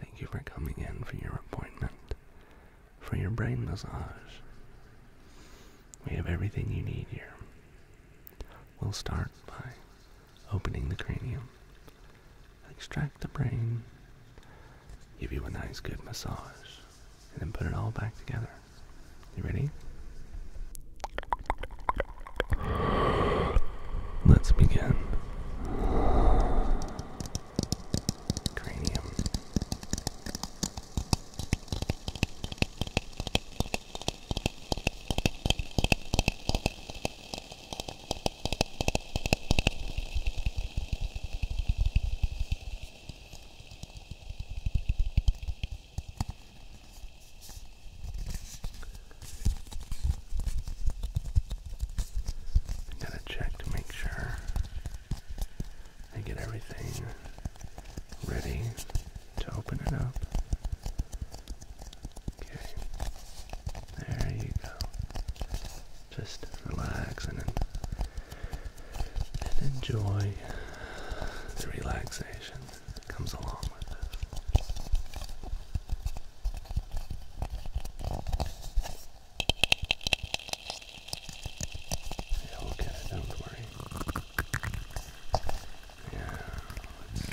Thank you for coming in for your appointment for your brain massage. We have everything you need here. We'll start by opening the cranium, extract the brain, give you a nice good massage, and then put it all back together. You ready? Let's begin cranium gotta check to make sure I get everything ready to open it up. Okay, there you go. Just relax and, enjoy the relaxation that comes along with it. Yeah, we'll get it, don't worry. Yeah, let's see.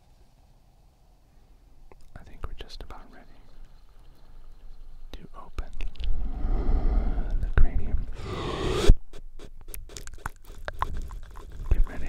I think we're just about ready to open the cranium. Get ready.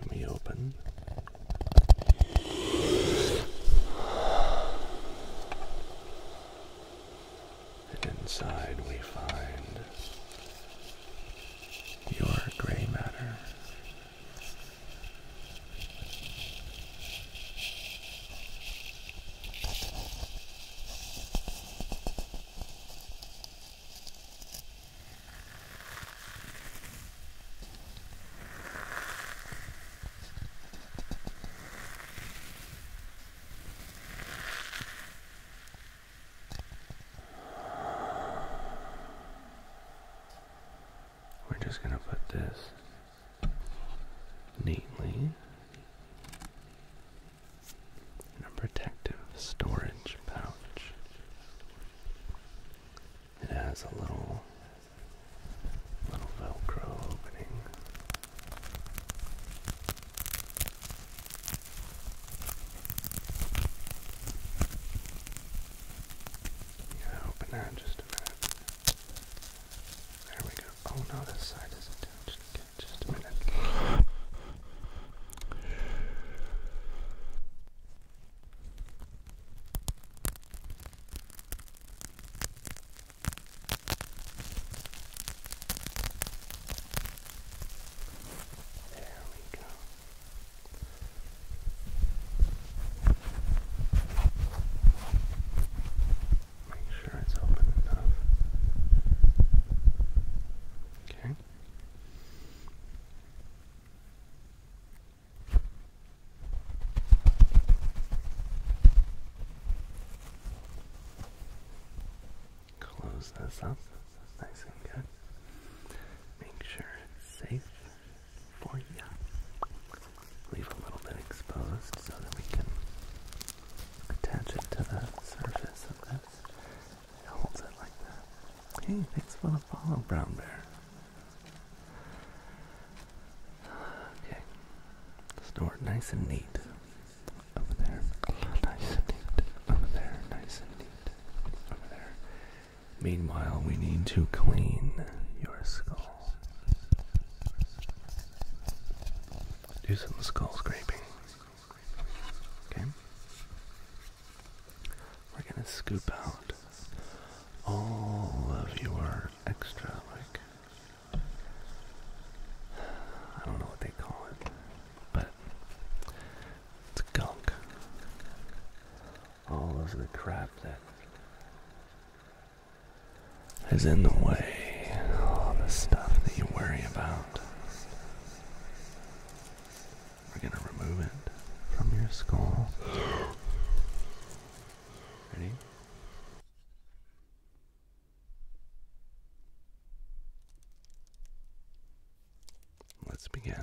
And we open and inside we find your gray matter. We're just going to put this neatly in a protective storage pouch. It has a little Little Velcro opening. Yeah, open that in just a minute. There we go. Oh no, this side is attached. Okay, just a minute. There we go. Make sure it's open enough. Okay. Close this up nice and good. Make sure it's safe for you. Leave a little bit exposed so that we can attach it to the surface of this. It holds it like that. Hey, thanks for the follow, Brown Bear. Okay. Store it nice and neat. Over there. Nice and neat. Over there. Nice and neat. Over there. Meanwhile, we need to clean your skull. Do some skull scraping. Okay? We're gonna scoop out all of your extra like I don't know what they call it, but it's gunk. All of the crap that is in the way, all the stuff that you worry about. We're gonna remove it from your skull. Ready? Let's begin.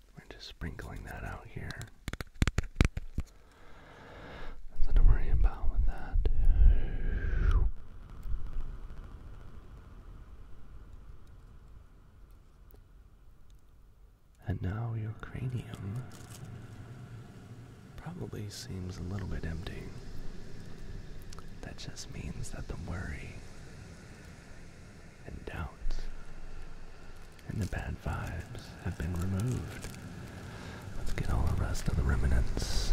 We're just sprinkling that out here. Nothing to worry about with that. And now your cranium probably seems a little bit empty. That just means that the worry and doubts, and the bad vibes have been removed. Let's get all the rest of the remnants.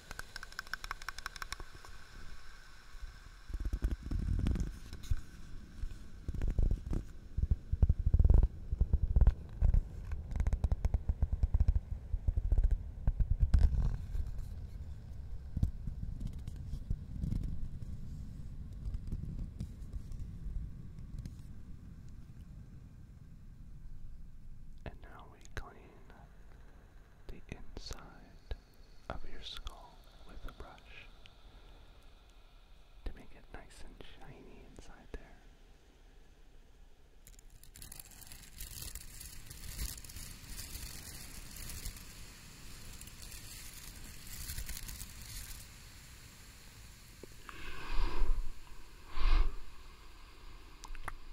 And now we clean the inside of your skull with a brush to make it nice and shiny inside there.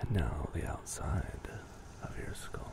and now the outside of your skull.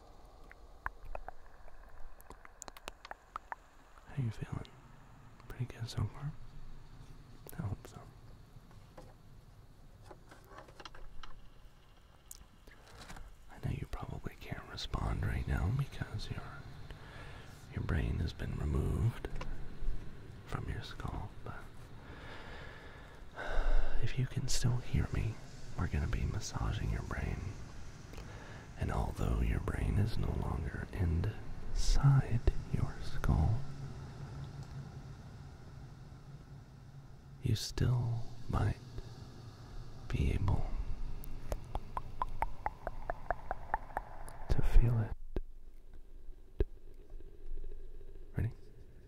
How you feeling? Pretty good so far? I hope so. I know you probably can't respond right now because your your brain has been removed from your skull, but if you can still hear me, we're going to be massaging your brain. And although your brain is no longer inside your skull, you still might be able to feel it. Ready?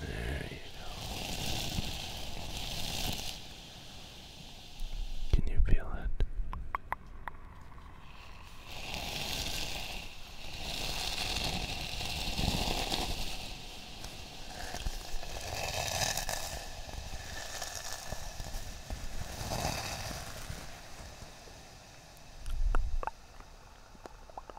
There you go. Can you feel it?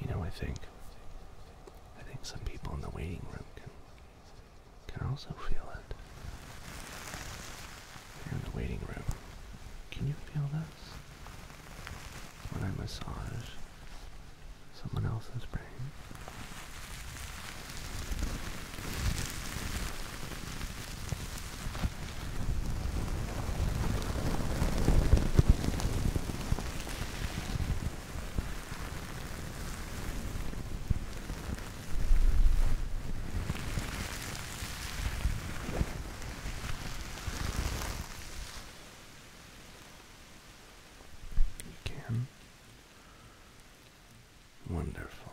You know, I think I think some people in the waiting room can can also feel it. in the waiting room, can you feel this? When I massage someone else's brain. You can. Wonderful.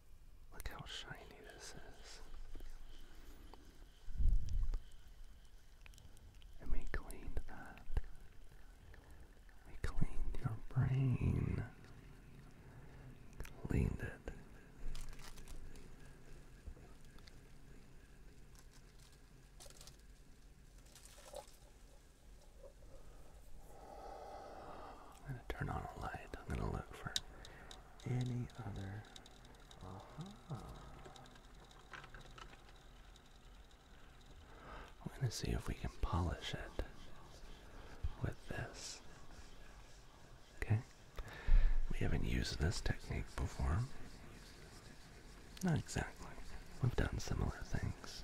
Look how shiny this is. And we cleaned that. We cleaned your brain. Cleaned it. I'm going to turn on a light. I'm going to look for any other uh -huh. going to see if we can polish it with this. Okay? We haven't used this technique before. Not exactly. We've done similar things.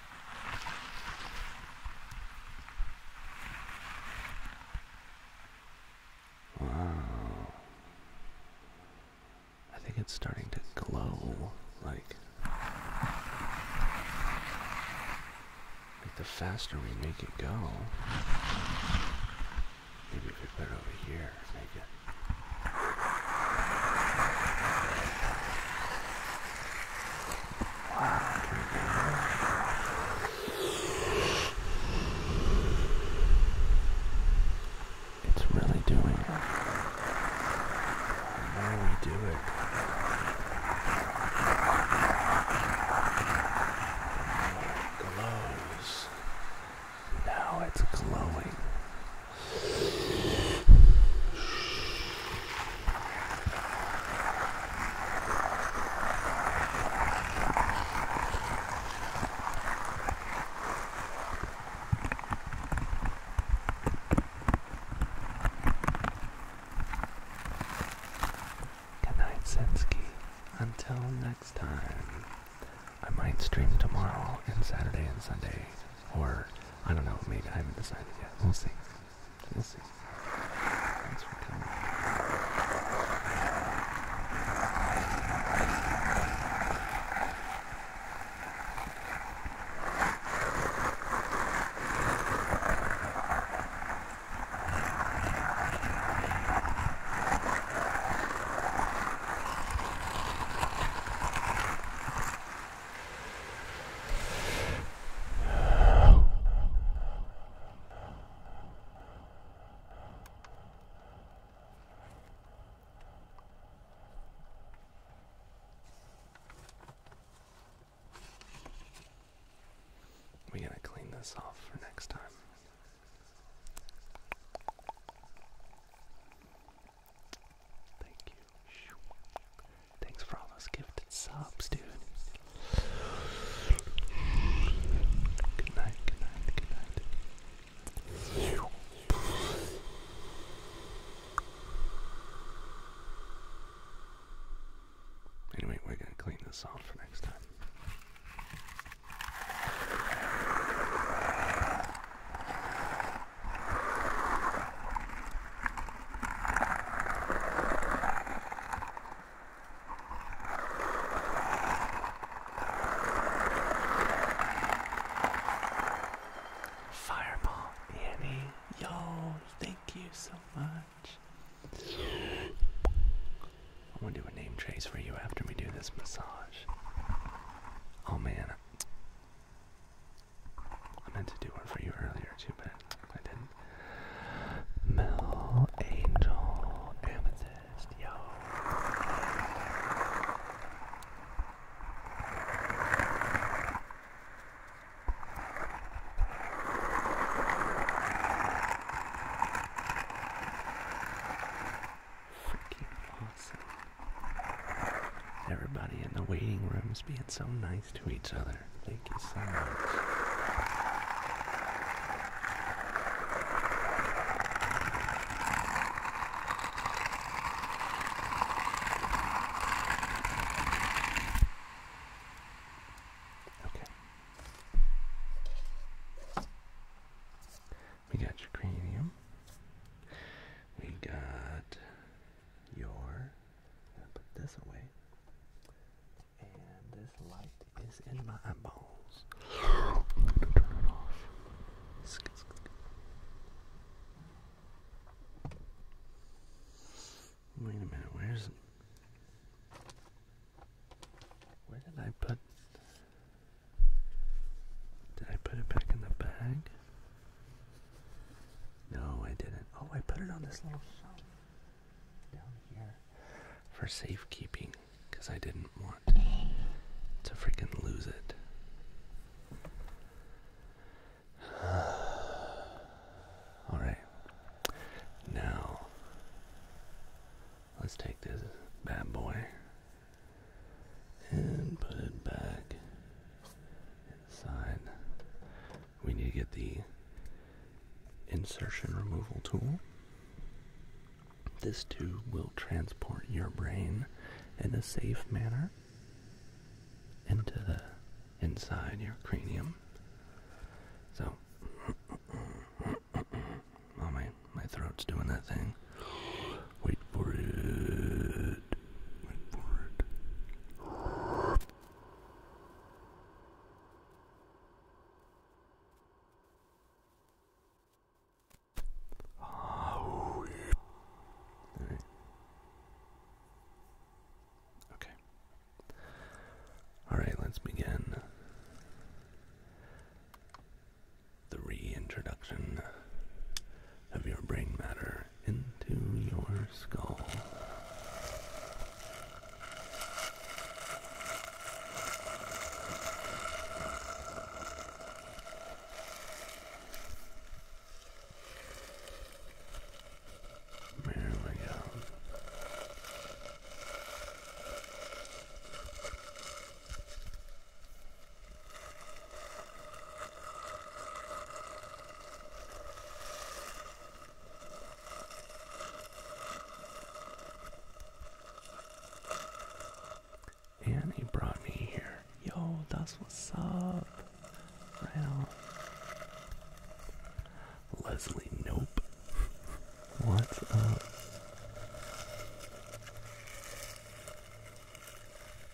Wow. I think it's starting to glow like the faster we make it go. Maybe we could put it over here, make it it's really doing it. Now we do it. it glows. Now it's glowing. Good Sensky. Until next time. I might stream tomorrow and Saturday and Sunday. Or, I don't know, maybe I haven't decided yet. We'll see. We'll see. We gotta clean this off for next time. Thank you. Thanks for all those gifted subs, dude. Good night, good night, good night. Anyway, we're gonna clean this off for next time. Fireball Annie, yo, thank you so much. I want to do a name trace for you after we do this massage. Oh man, I meant to do one for you earlier too, but I didn't. Mel, Angel, Amethyst, yo. Freaking awesome. Everybody in the waiting room is being so nice to each other. Thank you so much. Okay. We got your cranium. We got your, put this away, and this light is in my eyeballs. turn it off. Wait a minute, where's, where did I put, did I put it back in the bag? No, I didn't. Oh, I put it on this little shelf down here for safekeeping because I didn't want to freaking lose it. All right. Now, let's take this bad boy and put it back inside. We need to get the insertion removal tool. This tube will transport your brain in a safe manner into the inside your cranium. So, oh, my, my throat's doing that thing. Wait for it. Wait for it. Okay. All right, let's begin the reintroduction of your brain matter into your skull. There we go. And brought me here. Yo, that's what's up. Wow. Leslie, nope. What's up?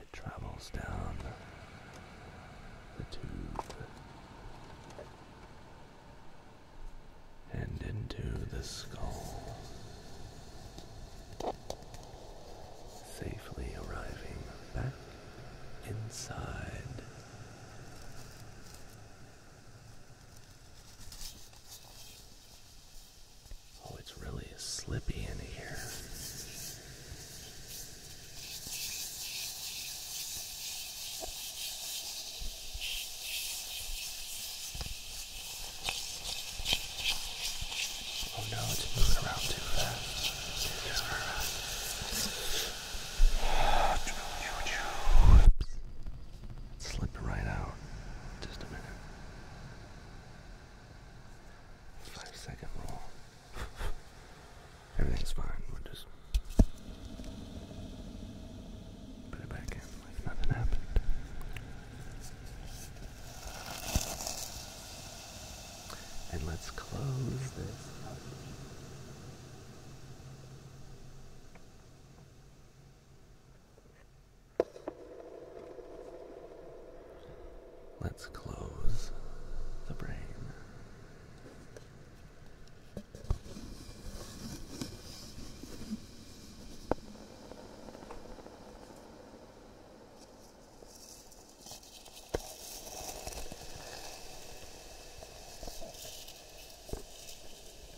It travels down the tube and into the skull, safely arriving back inside. Oh, it's really slippy in here. Oh no, it's moving around too fast. Too fast. Slipped right out. Just a minute. Five second roll. Everything's fine. We'll just put it back in nothing happened. And let's close this Let's close the brain.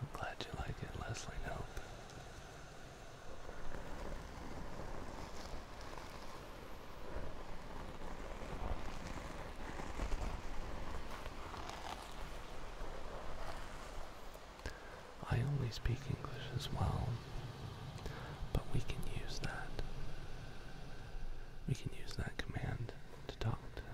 I'm glad you like it, Leslie I only speak English as well, but we can use that. We can use that command to talk to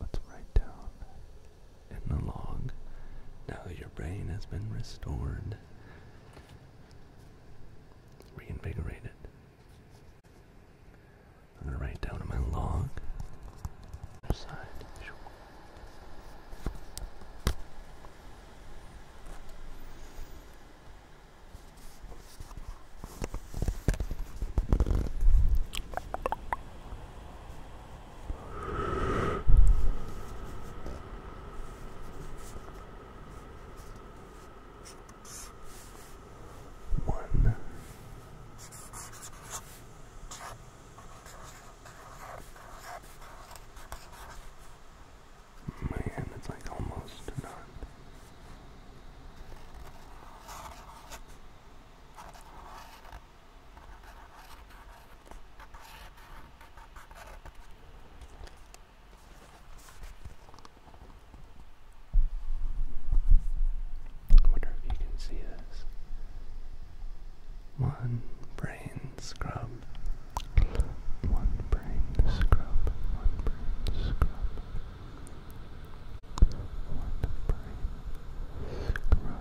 Let's write down in the log. Now your brain has been restored. Reinvigorated. I'm gonna write down on my log. One. Man, it's like almost none. I wonder if you can see this. One brain scrub. One brain scrub. One brain scrub. One brain scrub.